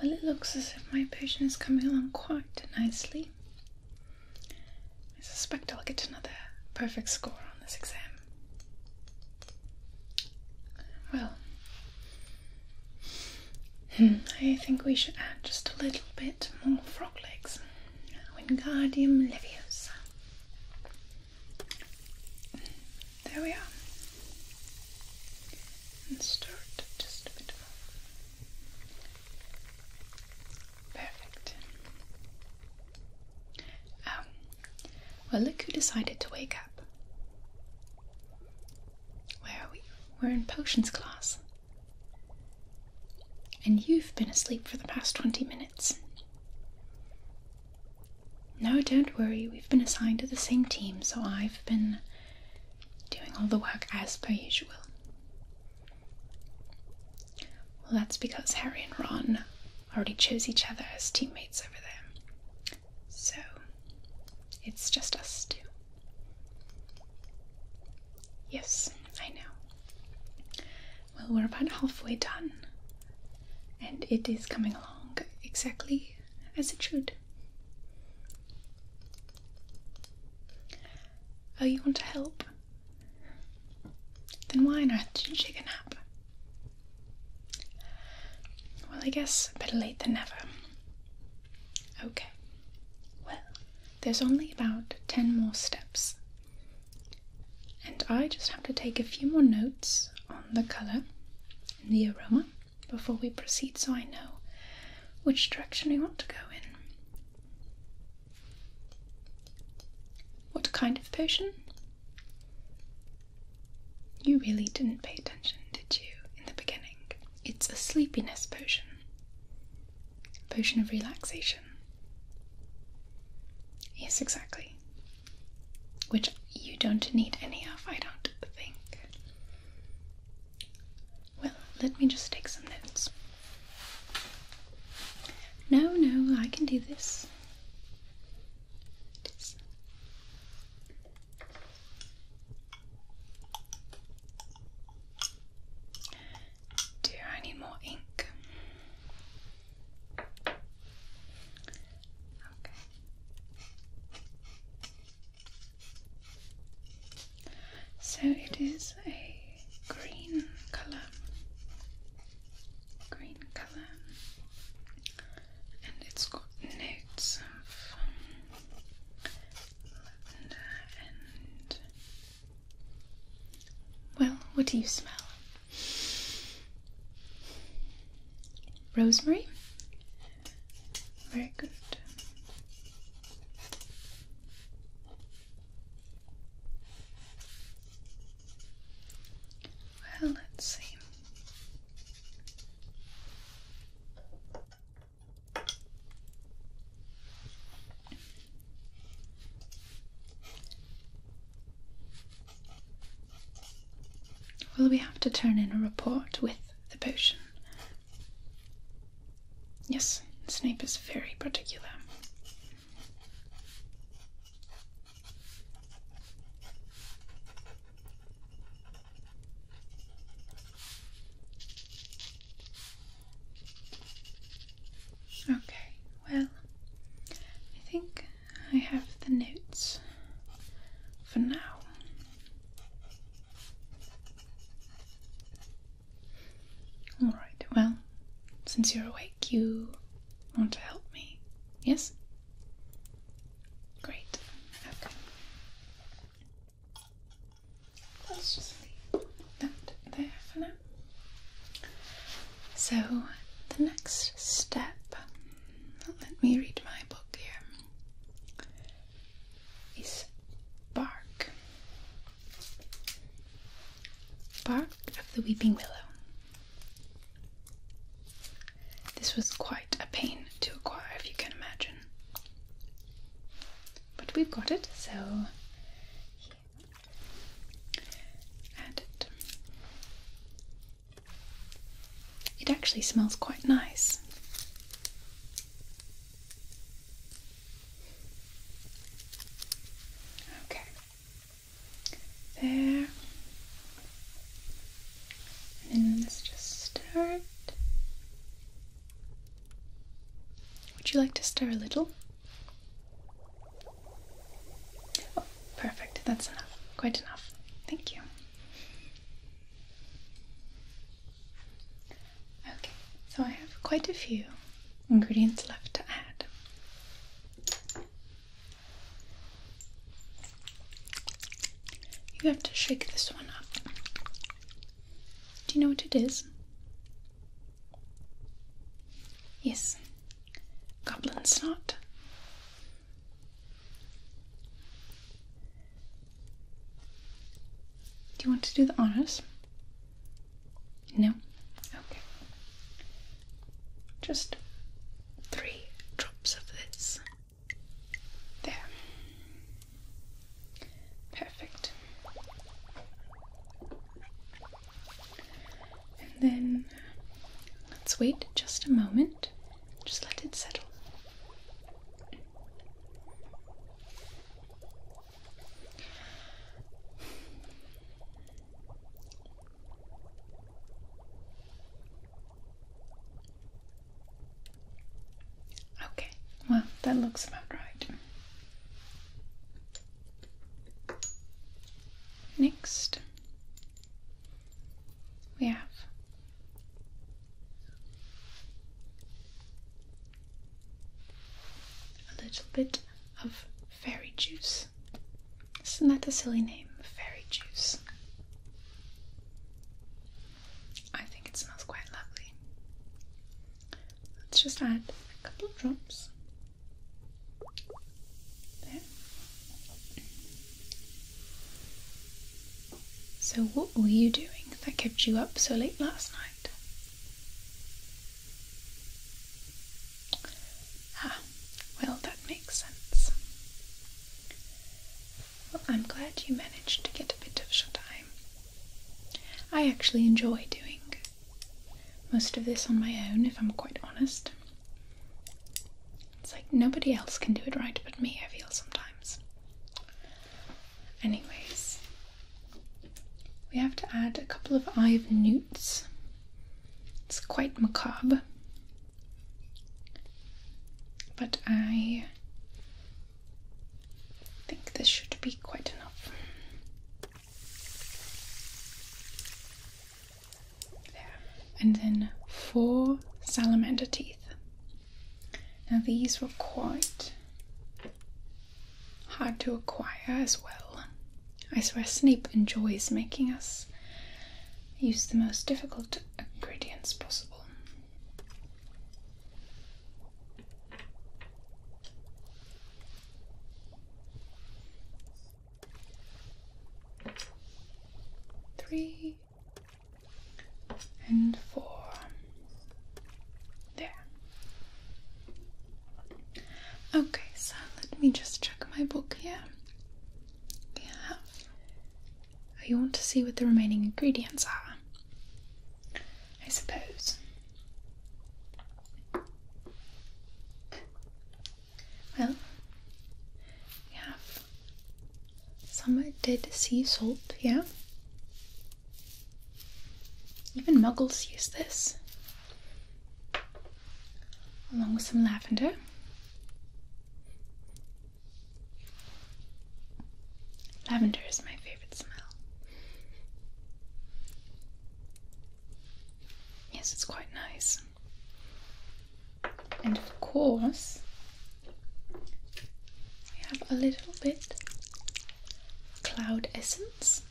Well, it looks as if my patient is coming along quite nicely. I suspect I'll get another perfect score on this exam. Well, hmm, I think we should add just a little bit more frog legs. Wingardium Leviosa. There we are. And stir it just a bit more. Perfect. Oh, well, look who decided to wake up. Where are we? We're in potions class. And you've been asleep for the past 20 minutes. No, don't worry, we've been assigned to the same team, so I've been doing all the work as per usual. Well, that's because Harry and Ron already chose each other as teammates over there. So it's just us two. Yes, I know. Well, we're about halfway done, and it is coming along exactly as it should. Oh, you want to help? Then why on earth did you take a nap? Well, I guess better late than never. Okay. Well, there's only about 10 more steps. And I just have to take a few more notes on the color and the aroma before we proceed so I know which direction we want to go in. What kind of potion? You really didn't pay attention, did you, in the beginning? It's a sleepiness potion. Potion of relaxation. Yes, exactly. Which you don't need any of, I don't think. Well, let me just take some notes. No, no, I can do this. Do I need more ink? Okay. So it is a green color. Green and it's got notes of um, lavender Well, what do you smell? Rosemary? Very good. Well, let's see. Will we have to turn in a report with the potion? Yes, Snape is very particular. Okay, well, I think I have the notes for now. Alright, well, since you're awake, you Want to help me? Yes? Great. Okay. Let's just leave that there for now. So, the next step, let me read my book here, is bark. Bark of the weeping willow. This was quite a pain to acquire, if you can imagine. But we've got it, so add it. It actually smells quite nice. Okay, there. And let's just stir Would you like to stir a little? Oh, perfect. That's enough. Quite enough. Thank you. Okay, so I have quite a few ingredients left to add. You have to shake this one up. Do you know what it is? Yes, goblin snot. Do you want to do the honors? No? Okay. Just three drops of this. There. Perfect. And then let's wait just a moment, just let it settle. Okay, well, that looks about right. Next, we have a little bit of fairy juice. Isn't that a silly name? Fairy juice. I think it smells quite lovely. Let's just add a couple of drops. There. So, what were you doing that kept you up so late last night? Ah, well, that makes sense. Well, I'm glad you managed to get a bit of shuteye. I actually enjoy doing most of this on my own, if I'm quite honest. It's like nobody else can do it right but me, I feel sometimes. Anyways, we have to add a couple of eye of newts it's quite macabre. But I think this should be quite enough. There. And then four salamander teeth. Now, these were quite hard to acquire as well. I swear Snape enjoys making us use the most difficult ingredients possible. Three and four. There. Okay, so let me just check my book here. Yeah. You want to see what the remaining ingredients are? I suppose. Well, we have some dead sea salt Yeah, Even muggles use this along with some lavender. Lavender is my favorite smell. Yes, it's quite nice. And of course, we have a little bit cloud essence.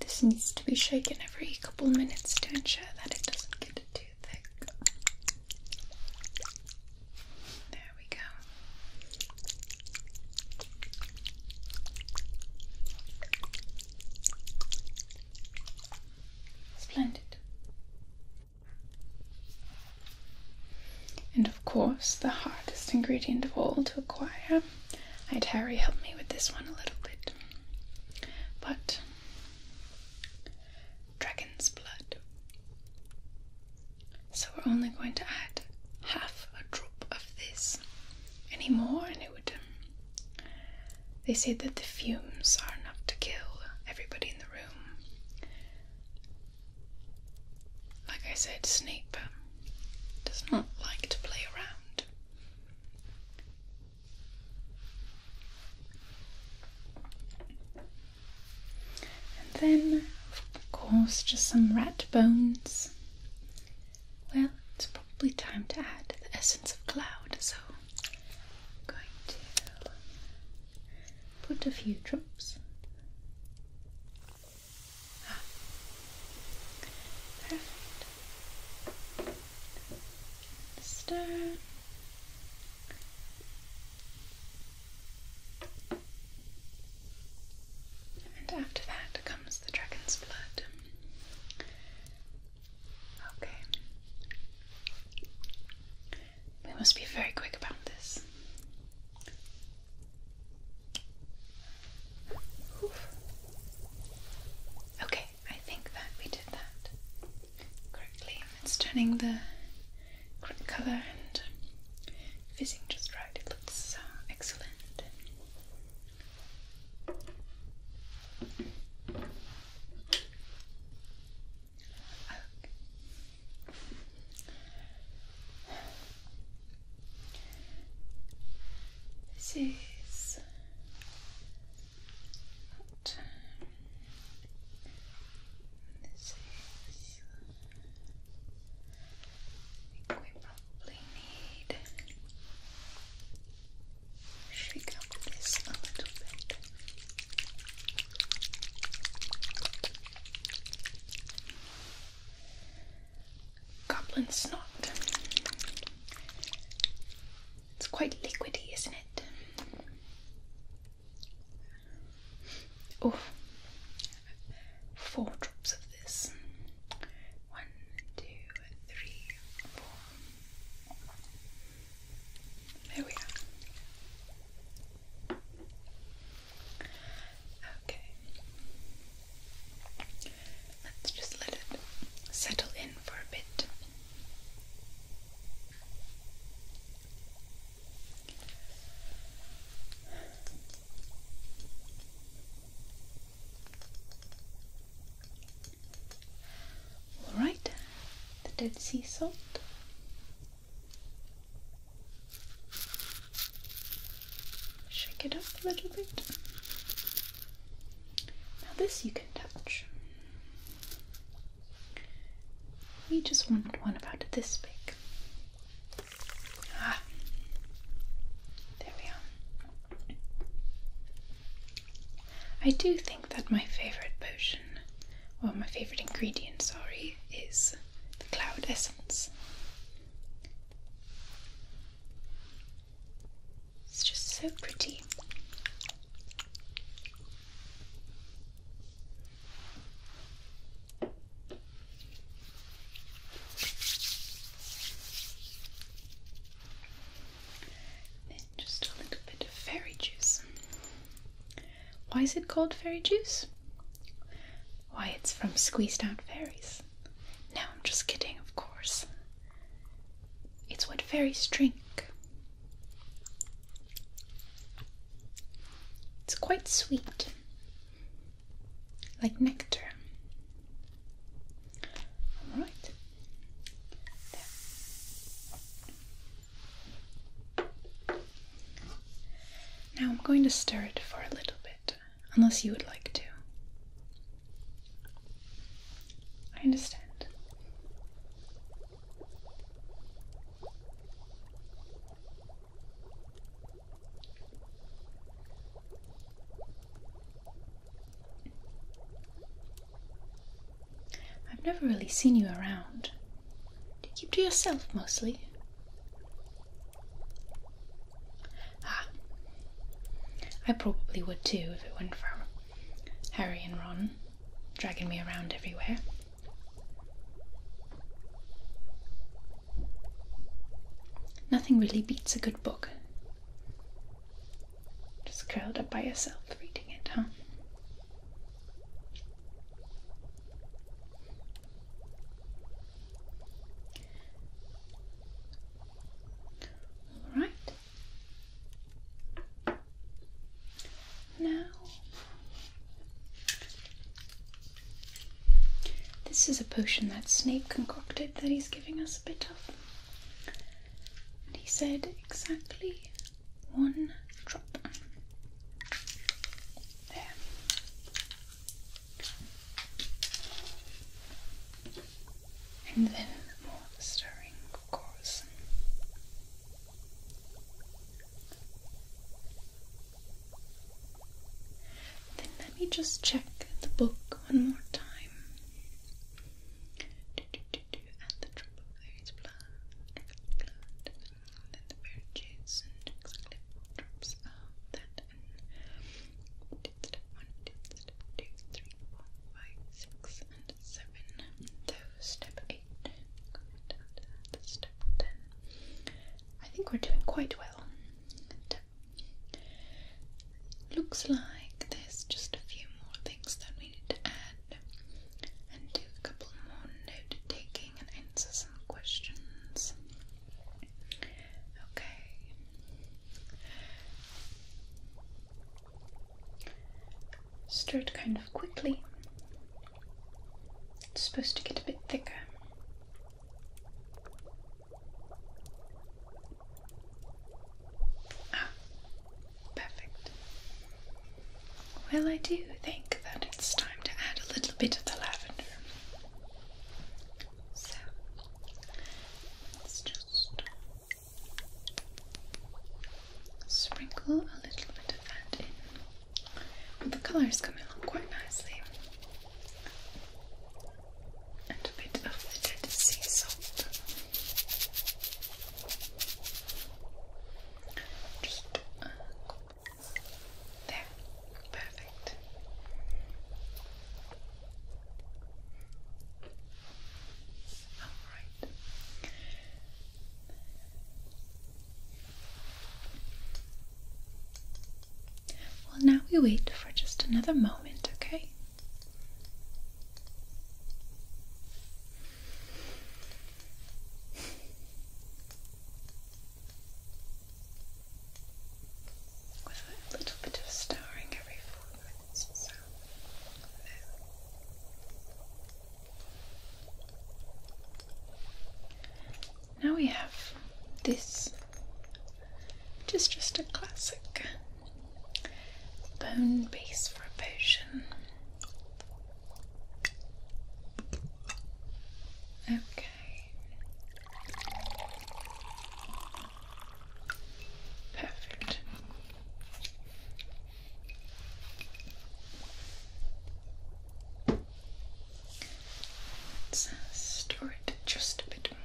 This needs to be shaken every couple minutes to ensure that it doesn't get too thick. There we go. Splendid. And of course, the hardest ingredient of all to acquire. I had Harry help me with this one a little bit. But dragon's blood. So we're only going to add half a drop of this. Any more, and it would. Um, they say that the fumes are enough to kill everybody in the room. Like I said, Snape does not hmm. like to play around. And then, of course, just some rat bones. Well, it's probably time to add the essence of cloud, so going to put a few drops Perfect. The And after that comes the dragon's blood. Okay. We must be very quick about this. Okay, I think that we did that correctly. It's turning the correct color and fizzing just right. It looks uh, excellent. This is this is. I think we probably need shake up this a little bit. Goblin snot. It's quite liquidy, isn't it? Oh, four drops of this. One, two, three, four. There we are. Okay. Let's just let it settle in for a bit. All right, the Dead Sea Salt Shake it up a little bit. Now, this you can touch. We just wanted one about this big. Ah, there we are. I do think that my favorite potion, or my favorite ingredient, sorry, is the cloud essence. It's just so pretty. Then just a little bit of fairy juice. Why is it called fairy juice? Why, it's from squeezed out fairies. No, I'm just kidding, of course. It's what fairies drink. It's quite sweet, like nectar. Alright. Now I'm going to stir it for a little bit, unless you would like to. I understand. I've never really seen you around keep to yourself mostly? Ah, I probably would too if it weren't for Harry and Ron dragging me around everywhere. Nothing really beats a good book. Just curled up by yourself reading it, huh? All right. Now, this is a potion that Snape concocted that he's giving us a bit of. And he said exactly one drop. There. And then more stirring, of Then let me just check the book one more time. Do, do, do, do, at the drop of blood, blood, that the purchase and clip drops out that and and seven. So step eight, step ten. I think we're doing quite well. looks like there's just a few more things that we need to add said, and do a couple more note taking and answer some questions. Okay. Stirred kind of quickly. It's supposed to get a bit thicker. Ah, Perfect. Well, I do think that it's time to add a little bit of the lavender. So, let's just sprinkle a little bit of that in. Well, the colour is coming along quite nicely. And a bit of the sea salt there, perfect. Alright. Well, now we wait for just another moment, okay? a little bit of starring every four or so. Now we have this, which is just a classic bone base for a potion. Okay. Perfect. let uh, it just a bit more.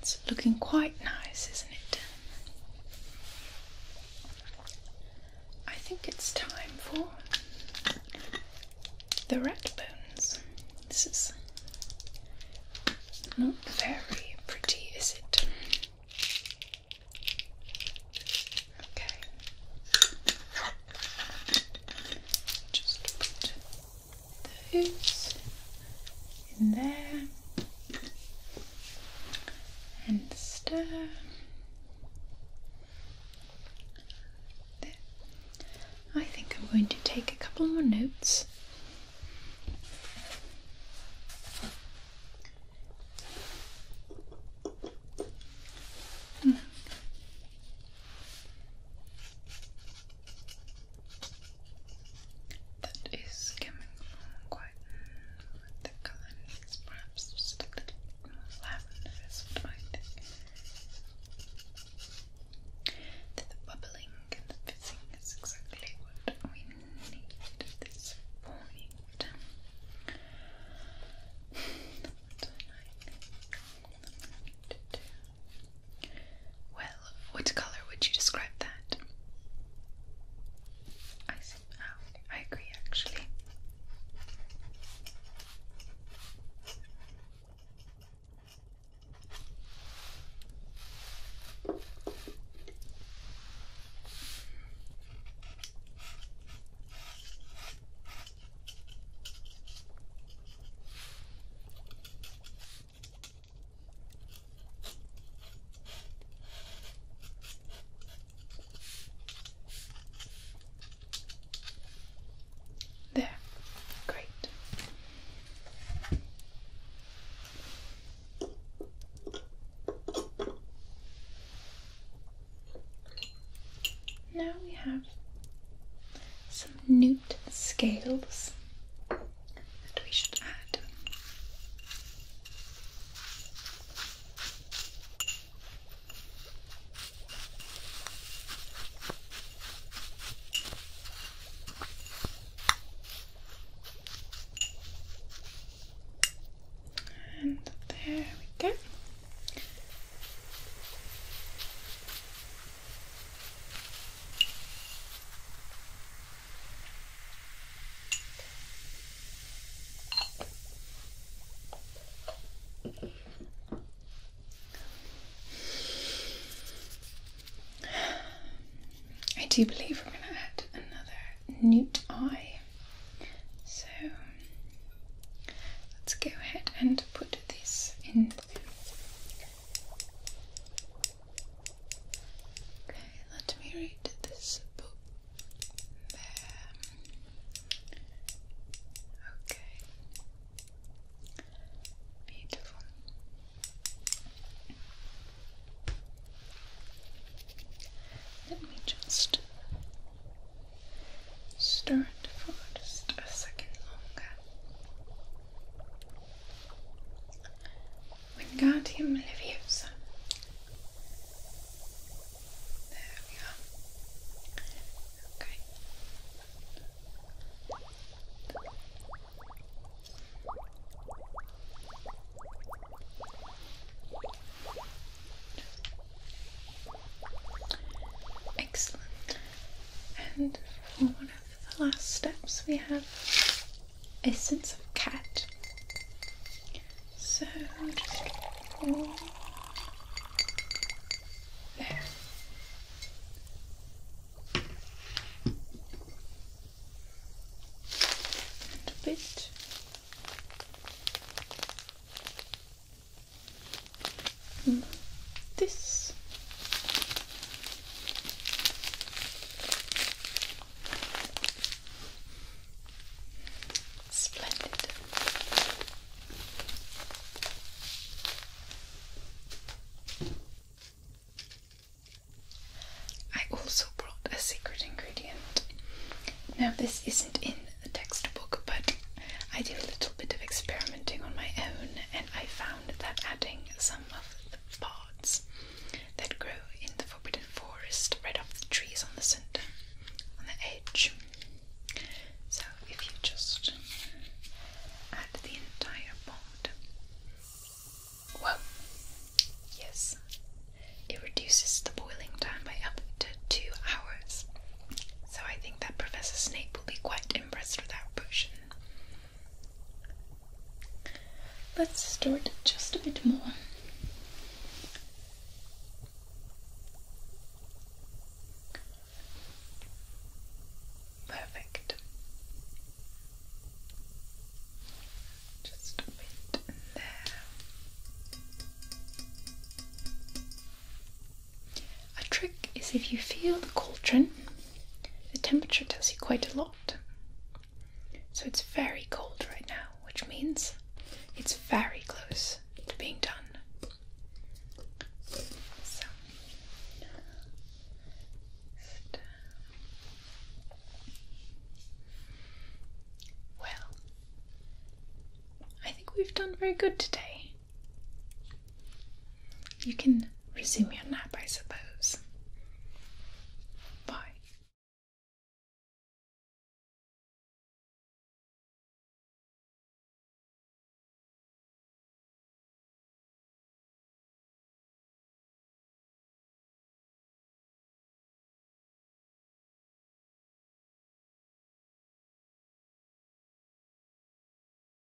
It's looking quite nice, isn't it? I think it's time for the red bones. This is not very pretty, is it? Okay. Just put those in there and stir I think I'm going to take a couple more notes that is coming from quite the color perhaps just a little lavender is what I The, bubbling and the fizzing is exactly what we need at this point. Well, what color would you describe that? I see. Oh, I agree, actually. There, great. Now we have some newt scales. And we should add. And there we go. I do believe we're going to add another newt eye. So let's go ahead and put this in. Okay, let me read this book. There. Okay. Beautiful. Let me just stir it for just a second longer. Wingardium Leviosa. There we are. Okay. Excellent. And for the last steps we have essence of cat. So just a bit. Like hmm. this Splendid. I also brought a secret ingredient. Now, this isn't in the textbook, but I did a little bit of experimenting on my own, and I found that adding some of the pods that grow in the forbidden forest right off the trees on the center, on the edge. So if you just add the entire pod, well, yes, it reduces the boiling time by up to two hours. So I think that Professor Snape will be quite impressed with our potion. Let's stir it just a bit more. Perfect. Just a bit there. A trick is if you feel the cauldron the temperature tells you quite a lot. So it's very cold right now, which means it's very close to being done. well, I think we've done very good today. You can resume your nap, I suppose. Bye.